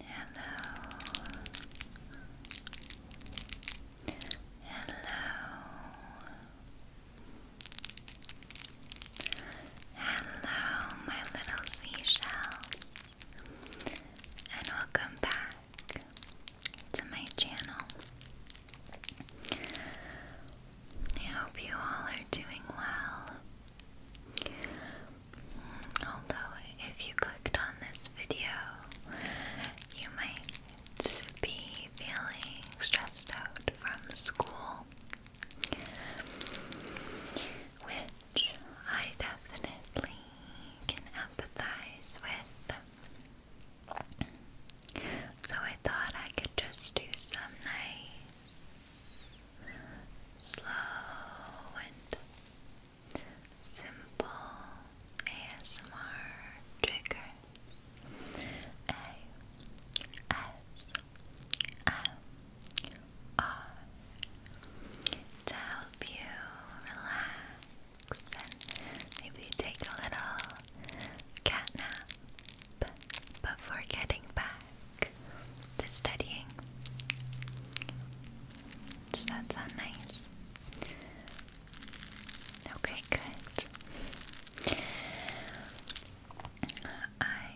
Hello. Hello. Hello, my little seashells, and welcome back to my channel. I hope you all are doing well. Although, if you clicked on this video, you might be feeling stressed out from school, which I definitely can empathize with. So, I thought I could just do some nice, slow, and simple ASMR triggers. A S M R to help you relax and maybe take a little cat nap before getting back to studying. Does that sound nice? Okay, good. I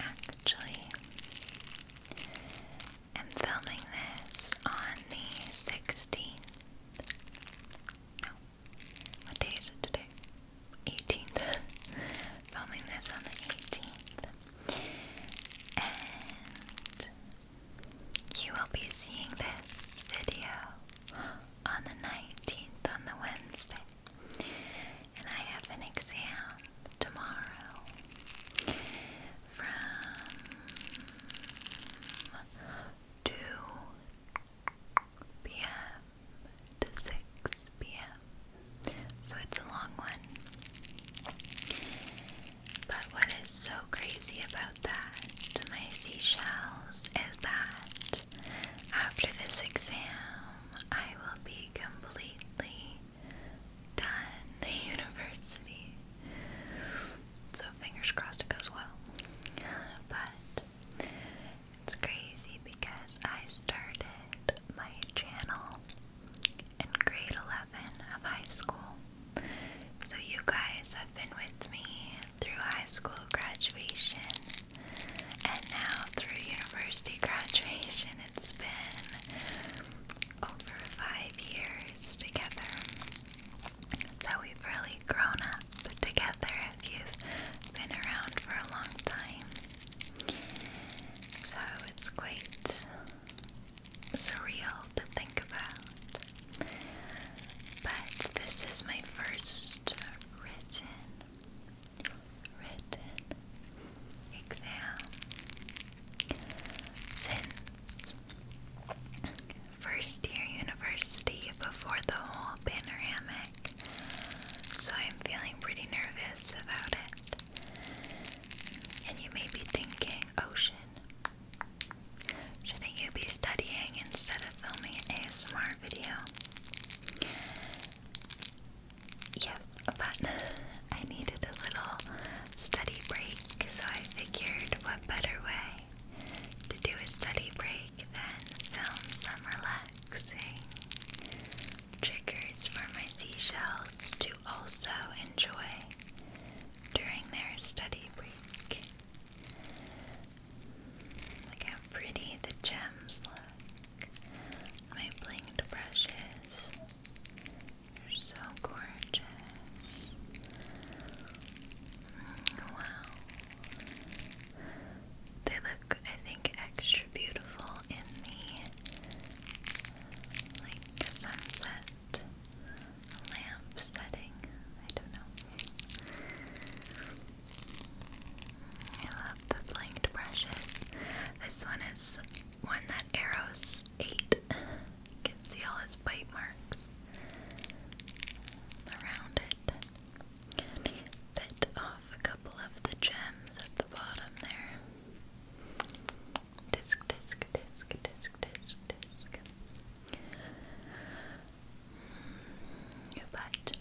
actually am filming this on the 16th. No. What day is it today? 18th. filming this on the 18th. And you will be seeing this video on the 19th, on the Wednesday. And I have an exam tomorrow from 2 p.m. to 6 p.m. So it's a long one. But what is so crazy about that, my seashells, is that after this exam, I will be completely done at university. So fingers crossed it goes well. But it's crazy because I started my channel in grade 11 of high school. So, you guys have been with me through high school graduation and now through university graduation. It's been over five years together. So, we've really grown up together you've been around for a long time. So, it's quite surreal to think about. But this is my first written, written exam since first year university before the whole panoramic. So I'm feeling pretty nervous about it. And you may be thinking, Ocean, shouldn't you be studying instead of filming an ASMR video? Yes, but I needed a little study break, so I figured what better way to do a study break than film some relaxing triggers for my seashells to also enjoy during their study break. Look how pretty the gems look. My blinked brushes. They're so gorgeous. Mm, wow. They look, I think, extra beautiful in the like sunset, lamp setting. I don't know. I love the flanked brushes. This one is one that arrows eight. You can see all his bite marks around it. bit off a couple of the gems at the bottom there disc, disc, disc, disc, disc, disc. Mm, but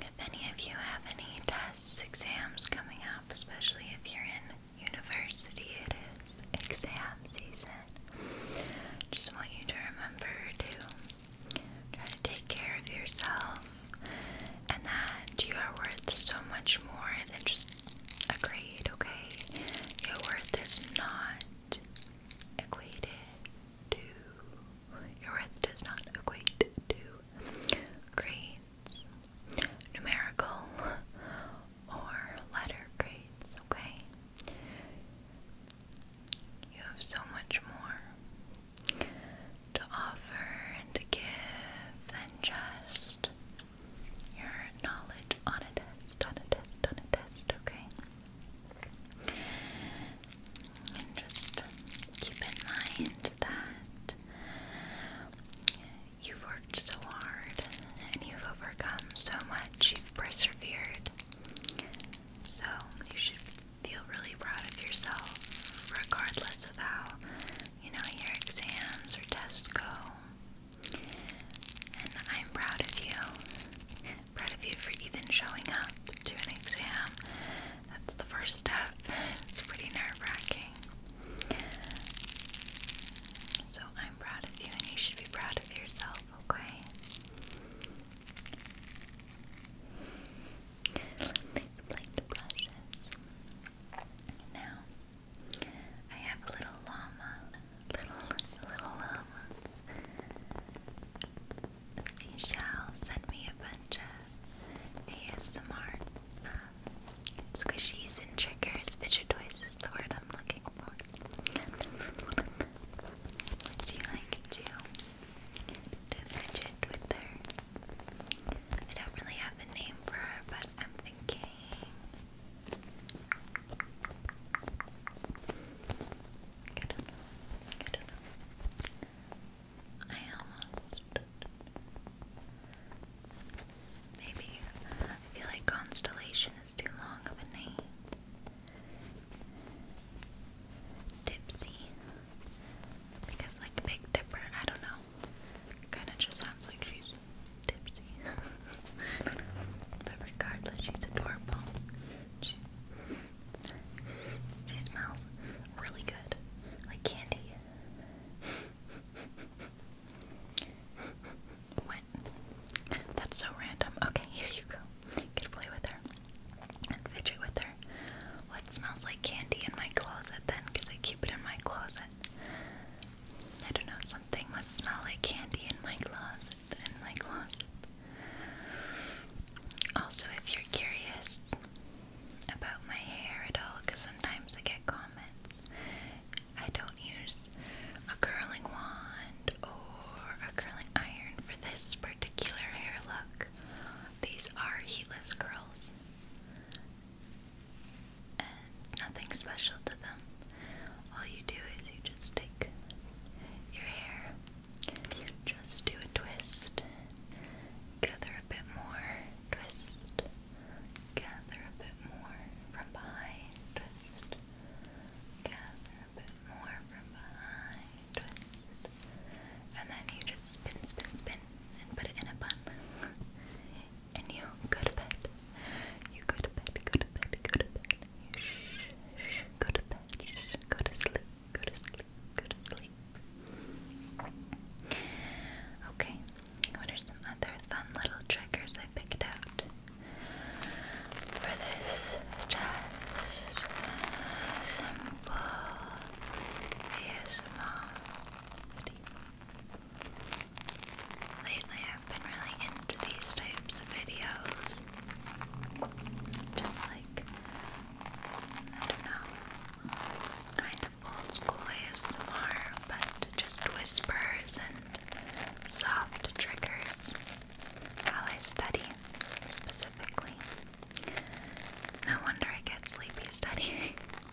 if any of you have any tests, exams coming up, especially if you're in university, it is exam season. Just want you to remember to try to take care of yourself and that you are worth so much more than just agreed, okay? Your worth is not equated to your worth does not equate to grades, numerical or letter grades, okay? You have so much more to offer and to give than just your knowledge on a test, on a test, on a test, okay? And just keep in mind that you've worked so hard and you've overcome so much, you've persevered. So you should feel really proud of yourself, regardless of how you know, your exams or tests go. And I'm proud of you. Proud of you for even showing up to an exam. That's the first step. It's pretty nerve wracking. So I'm proud of you, and you should be proud of yourself, okay? Let the brushes. Now, I have a little llama. Little, little llama. Seashell sent me a bunch of ASMR um, squishies and triggers. Fidget toys is the word I'm looking for. Would you like to, to fidget with her? I don't really have the name for her, but I'm thinking. I don't know. I don't know. I almost. Maybe. I feel like Constellation is too long of a name. Tipsy. Because, like, big dipper, I don't know. Kinda just sounds like she's tipsy. but regardless, she's adorable. She, smells really good. Like candy. What? That's so random. Okay, here you go. You can play with her and fidget with her. What smells like candy in my closet then? Because I keep it in my closet. I don't know, something must smell like candy in my closet, in my closet. Also, if you're curious about my hair at all, because sometimes I get comments, I don't use a curling wand or a curling iron for this particular hair look. These are heatless curls and nothing special to them. All you do is you just take your hair and you just do a twist, gather a bit more, twist, gather a bit more from behind, twist, gather a bit more from behind, twist, and then you just spin, spin, spin, and put it in a bun. and you go to bed. You go to bed, go to bed, go to bed. You go to bed, shh, go to sleep, go to sleep, go to sleep. Okay, what are some other fun little triggers I picked out for this? Just simple ASMR Lately, I've been really into these types of videos. Just like, I don't know, kind of old school ASMR, but just whispers and soft triggers while I study specifically. It's no wonder I get sleepy studying.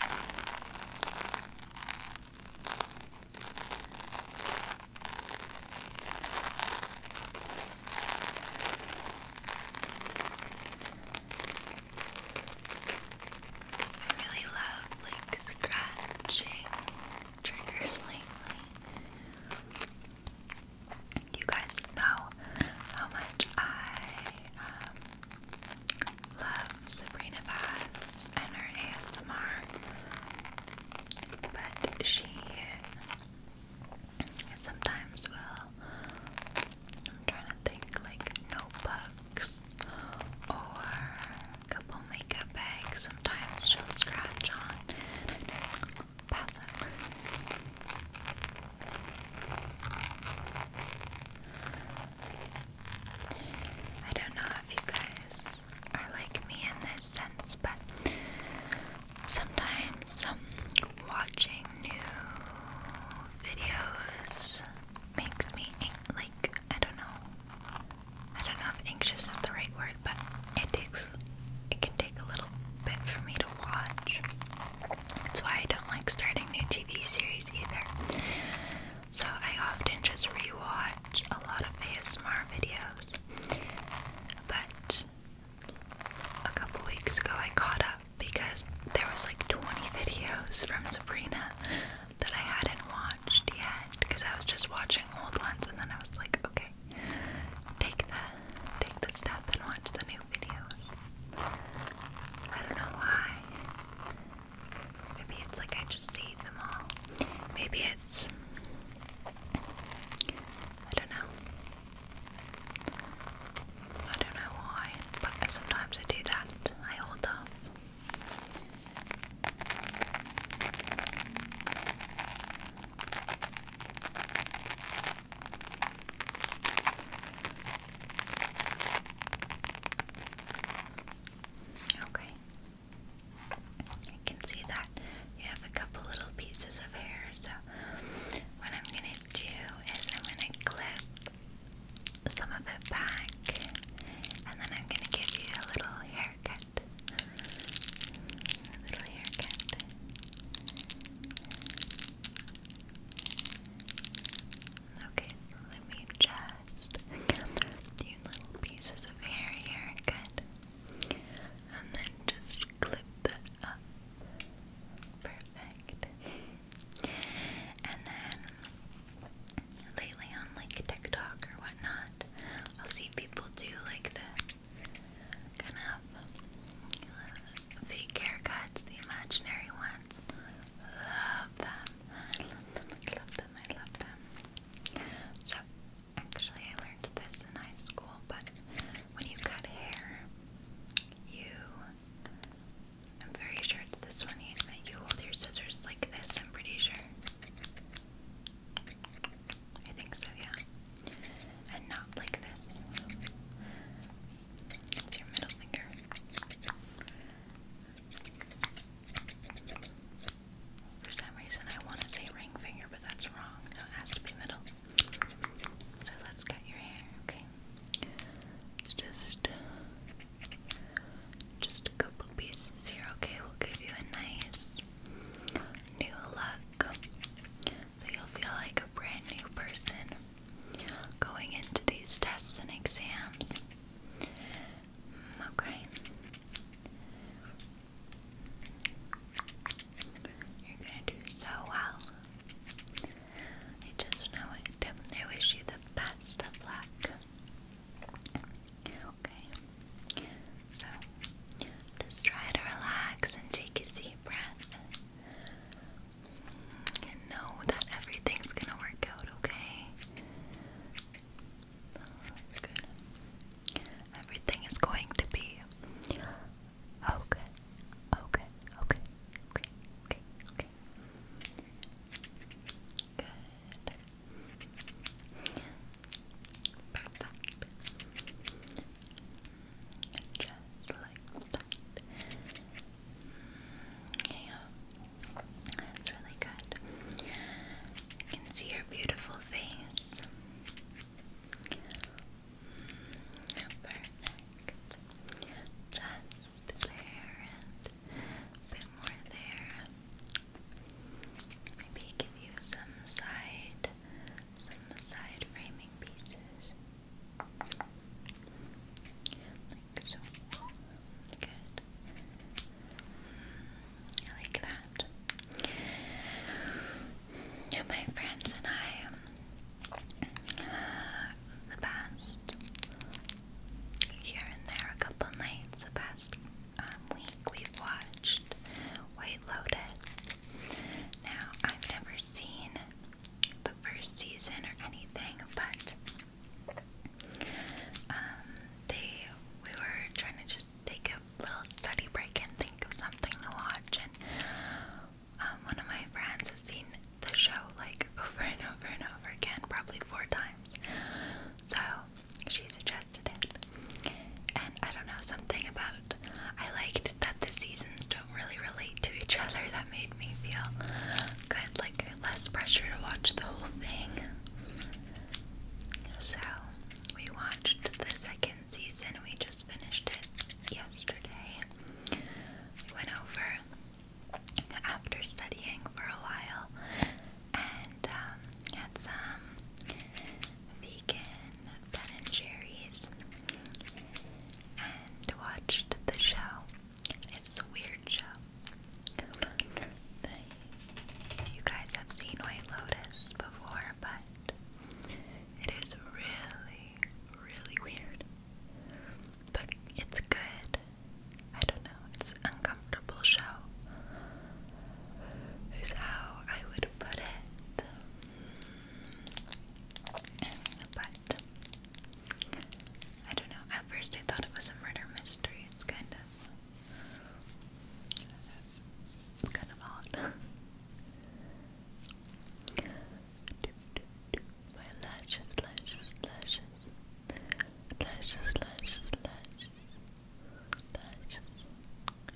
I really love scratching triggers lately. You guys know how much I um, love Sabrina Vaz and her ASMR, but she sometimes will. I'm trying to think like notebooks or a couple makeup bags. Sometimes she'll scratch on. I don't know if you guys are like me in this sense, but sometimes um, watching new videos makes me like I don't know. I don't know if anxious is the right word, but it takes it can take a little bit for me to watch. That's why I don't like starting new TV series either. So I often just rewatch a lot of ASMR videos. But a couple weeks ago I caught up because there was like 20 videos from Sabrina that I hadn't watched yet because I was just watching old ones and then I was like, okay, take the take the stuff and watch the new videos. I don't know why. Maybe it's like I just see them all. Maybe it's. I don't know. I don't know why, but sometimes I do that. I hold off. Okay. I can see that you have a couple little pieces of hair, so what I'm gonna do is I'm gonna clip some of it back and then I'm gonna give you a little haircut. little haircut. Okay, let me just few little pieces of hair here, good. And then just clip that up. Perfect. And then lately on like TikTok or whatnot, I'll see people do like the kind of fake haircuts, the imaginary ones ones. Love them. I love them. I love them. I love them. So actually I learned this in high school, but when you've got hair, you I'm very sure it's this one you, you hold your scissors like this, I'm pretty sure. I think so, yeah. And not like this. It's your middle finger. For some reason, I want to say ring finger, but that's wrong. No, has to be middle. So let's cut your hair, okay? Just, just a couple pieces here, okay? We'll give you a nice new look, so you'll feel like a brand new person going into these tests and exams. Okay. You're gonna do so well. I just know it. I wish you the best of luck. Okay. So just try to relax and take a deep breath know that everything's gonna work out, okay? Oh, Everything is going to be okay. Okay, okay, okay, okay, okay. Good. Perfect. Just like that. Yeah, that's really good. You can see your beautiful face. Perfect. Just there and a bit more there. Maybe give you some side, some side framing pieces. Like so. Good. I like that. My friends and I, um, the past here and there, a couple nights, the past um, week, we watched White Lotus. Now, I've never seen the first season or anything, but um, they we were trying to just take a little study break and think of something to watch, and um, one of my friends has seen the show like over and over and over again, probably four times. So she suggested it, and I don't know something about. I liked that the seasons don't really relate to each other. That made me feel good, like less pressure to watch the whole thing. So, we watched the second season, we just finished it yesterday. We went over after studying for a while and um, had some vegan Ben and cherries and watched the show. It's a weird show. You guys have seen White Lotus before, but it is really, really weird. But it's good. I don't know, it's uncomfortable show. Is how I would put it. But I don't know. At first, I thought it was a murder mystery. It's kind of. It's kind of odd. My lashes, lashes, lashes. Lashes, lashes, lashes.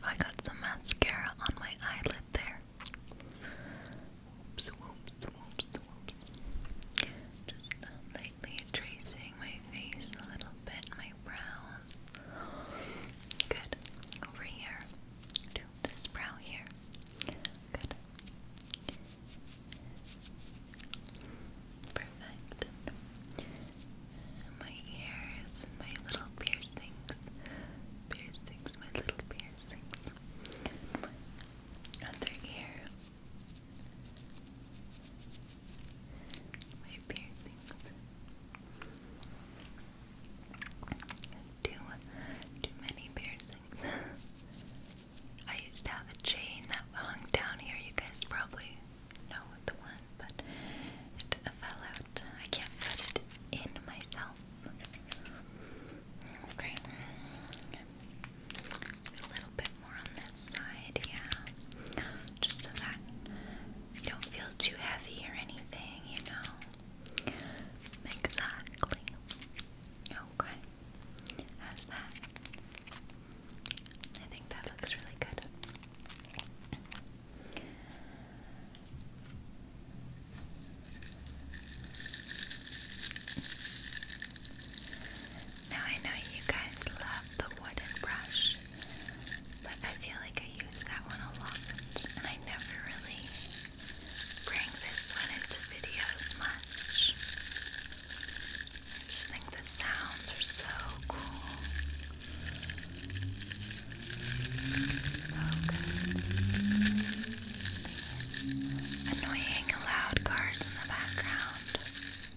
I got some mascara on my eyelid there. Whoops, whoops, whoops, whoops. Just um, lightly tracing my face a little bit, my brows. Good. Over here. To this brow here. Good. Perfect. My ears, my little piercings. Piercings, my little piercings. Other ear my piercings. Too, too many piercings. I used to have a chain that hung down here. You guys probably know the one, but it fell out. I can't put it in myself. Okay a little bit more on this side, yeah. Just so that you don't feel too heavy or anything, you know. Exactly. Okay. How's that? I think that looks really good. Now I know you guys love the wooden brush, but I feel like I use that one a lot, and I never really bring this one into videos much. I just think the sounds are so cool. So good. Annoying loud cars in the background.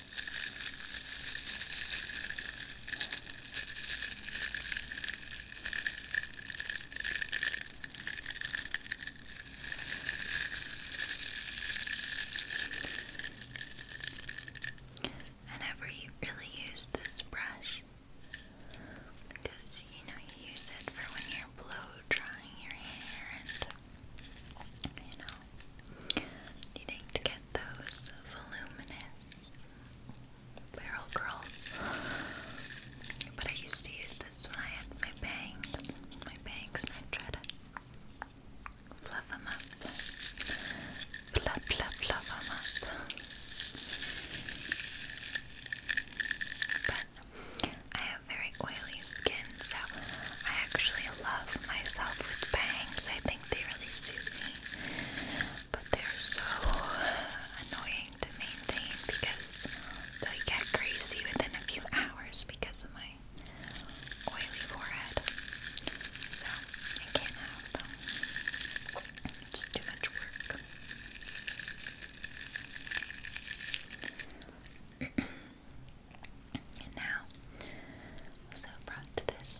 I never really use this brush because you know you use it for when you're blow drying your hair and you know needing to get those voluminous barrel curls. But I used to use this when I had my bangs, my bangs, and I try to fluff them up, fluff, fluff, fluff them up. But I have very oily skin, so I actually love myself with bangs. I think they really suit me, but they're so annoying to maintain because they get greasy within a few hours because of my oily forehead. So I can't have them. It's too much work. and now, also brought this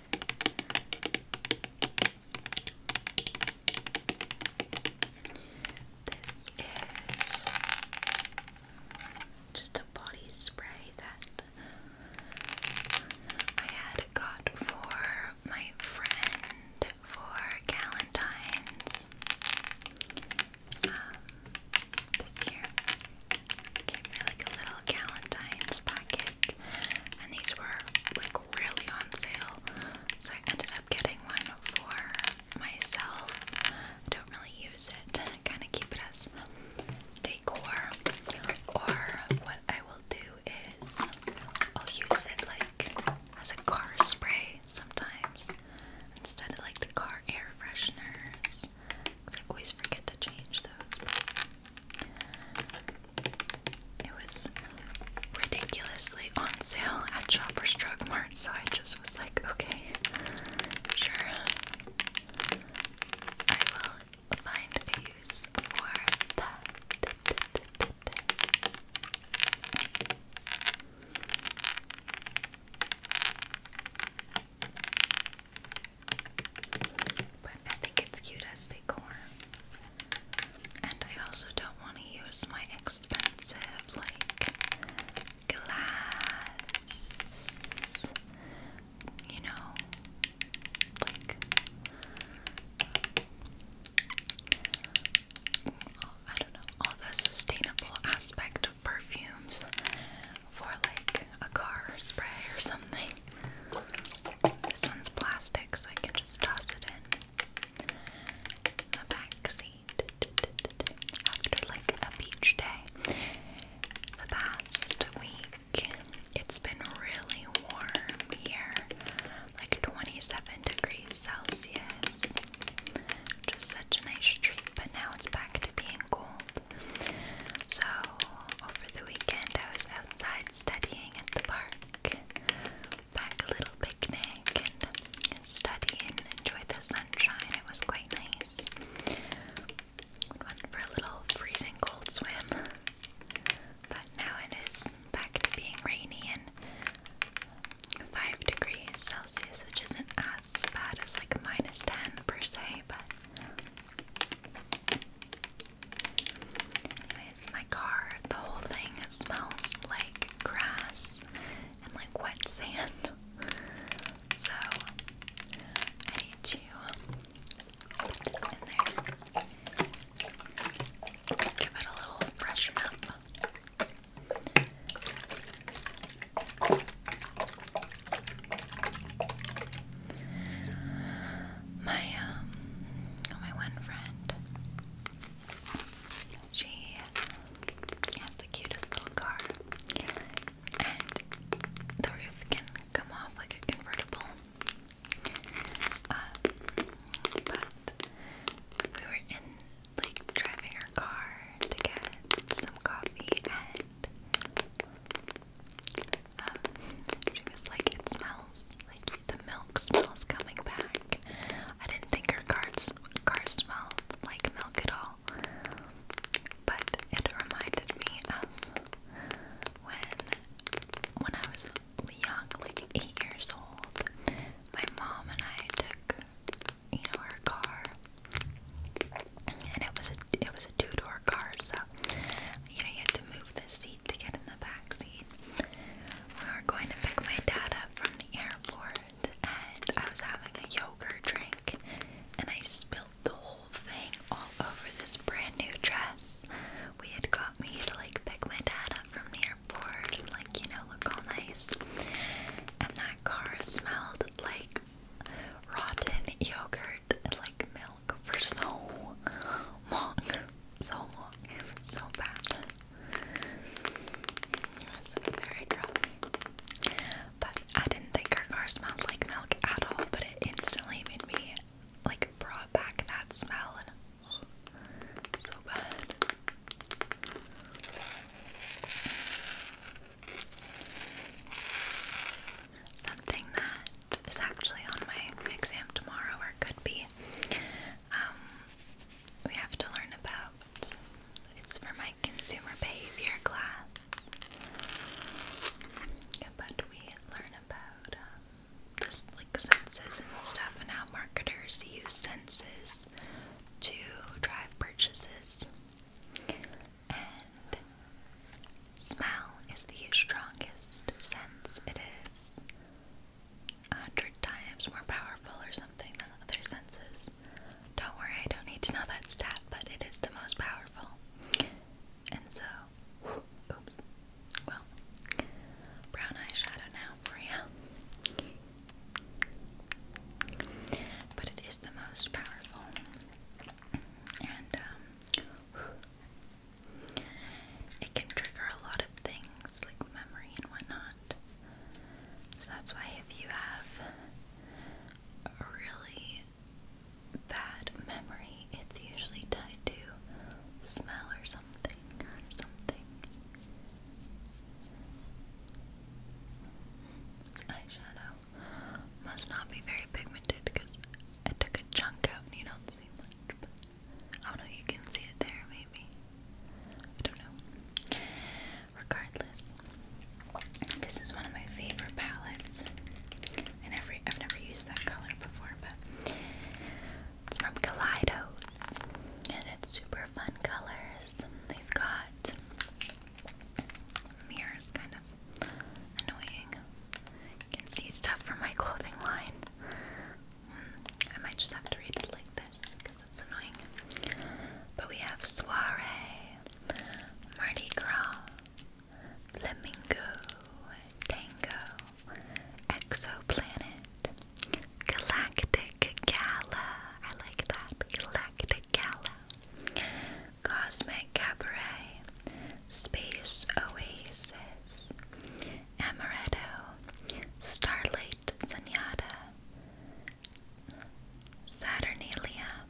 This is just a body spray that I had got for my friend for Galentine's um, this year. Gave her like a little Galentine's packet and these were like really on sale. So I ended up getting one for myself. I don't really use it. I kind of keep it as decor. Or what I will do is I'll use it like as a car spray sometimes instead of like the car air fresheners. Because I always forget to change those. It was ridiculously on sale at Shoppers Drug Mart, so I just was like, okay, sure. I will find a use for that but I think it's cute as decor. And I also don't want to use my expensive, like, glass, you know, like, I don't know, all the sustainable aspect of perfumes for, like, a car spray or something. This one's plastic, so I can just toss it in the back After like a beach day, the past week it's been really warm here, like 27 degrees Celsius. Just such a nice treat, but now it's back to being cold. So over the weekend, I was outside studying at the park pack a little picnic and study and enjoy the sunshine. It was quite nice. Went for a little freezing cold swim, but now it is back to being rainy and 5 degrees Celsius, which isn't as bad as like minus 10 per se, but Anyways, my car, the whole thing smells like grass and like wet sand. So I need to put this in there. Give it a little freshen up my um my one friend she has the cutest little car and the roof can come off like a convertible um, but we were in like driving her car to get some coffee and um, because like it smells, like the milk smells coming back. I didn't think her car, car smelled like milk at all, but it reminded me of when when I was young, like eight years old. My mom and I took, you know, her car, and it was a it was a two door car, so you know you had to move the seat seat to get in the back seat. We were going to pick my dad up from the airport, and I was having a yogurt drink, and I spilled the whole thing all over this brand new dress. We had got me to like pick my dad up from the airport and like, you know, look all nice. And that car smelled like rotten yogurt and like milk for so long so long. so bad. It was very gross. But I didn't think her car smelled like milk at all, but it instantly made me like brought back that smell and oh, so bad. Something that is actually on my exam tomorrow, or could be. Um, we have to learn about. It's for my consumer behavior class. but we learn about um, just like senses and stuff, and how marketers use senses to drive purchases. And smell is the strongest sense. It is a hundred times more powerful or something than other senses. Don't worry, I don't need to know that stat, but it is the most powerful. And so, oops. Well, brown eyeshadow now for But it is the most powerful. And, um, it can trigger a lot of things like memory and whatnot. So that's why if you have a really bad memory, it's usually tied to smell or something or something. Eyeshadow must not be very pigmented because I took a chunk out and you don't see much. Oh no, you can see it there, maybe. I don't know. Regardless, this is one of my favorite palettes. I never, I've never used that color before, but it's from Kaleidos, and it's super fun colors. They've got mirrors, kind of annoying. You can see stuff from my clothing line. I might just have to read it like this because it's annoying. But we have Soiree, Mardi Gras, Flamingo, Tango, Exoplanet, Galactic Gala. I like that. Galactic Gala. Cosmic Cabaret, Space Oasis, Amaretto, Starlight Sunyata, Saturnalia,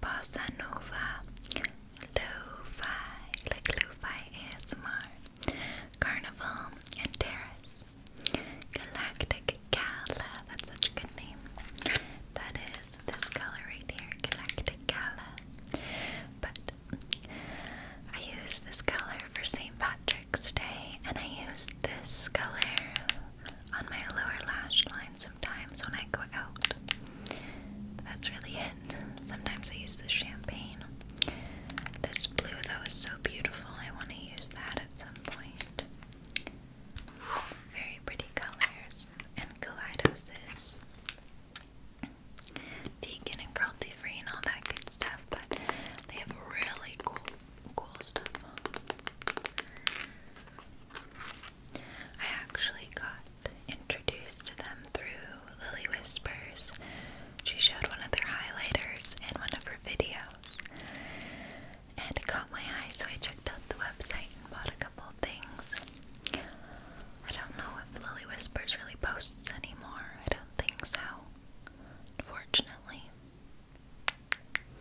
Bossa Nova, lo like Lo-Fi ASMR, Carnival, and Terrace. Galactic Gala, that's such a good name. That is this color right here, Galactic Gala. But I used this color for St. Patrick's Day, and I use this color on my lower lash line sometimes when I go out. that's really it. Sometimes I use the champagne. This blue, though, is so beautiful. I want to use that at some point. Very pretty colors and kaleidos vegan and cruelty free and all that good stuff, but they have really cool, cool stuff. I actually got introduced to them through Lily Whispers. She showed one of their highlighters in one of her videos, and it caught my eye, so I checked out the website and bought a couple things. I don't know if Lily Whispers really posts anymore. I don't think so unfortunately.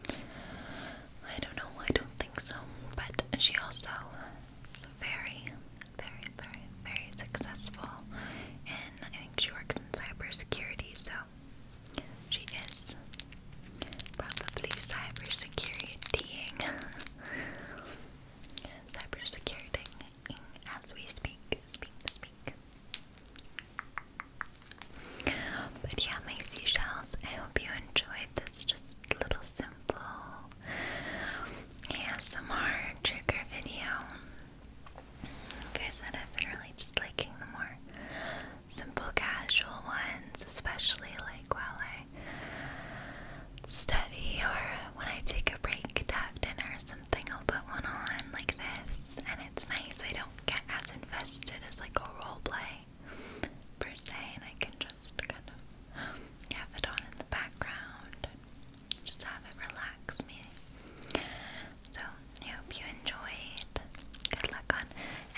I don't know, I don't think so. But she also very, very, very, very successful in I think she works in cybersecurity, so she is probably cybersecuritying. Cybersecurity, as we speak, speak, speak. But yeah, my seashells, I hope you enjoyed this just little simple ASMR trigger video. Like I have been really just liking the more simple casual ones, especially like while I study or when I take a break to have dinner. Sometimes something, I'll put one on like this, and it's nice. I don't get as invested as like a role play per se, and I can just kind of have it on in the background just have it relax me. So, I hope you enjoyed. Good luck on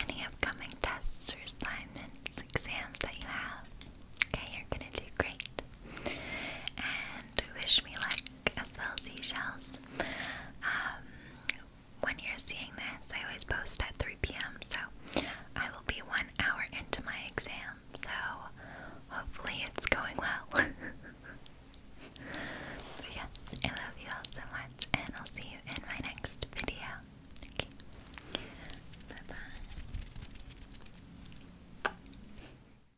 any upcoming tests or assignments, exams that you have. Okay, you're gonna do great. And wish me luck as well as seashells. Um, when you're seeing this, I always post at 3 p.m., so I will be one hour into my exam, so hopefully it's going well. so, yeah, I love you all so much, and I'll see you in my next video. Okay,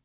bye.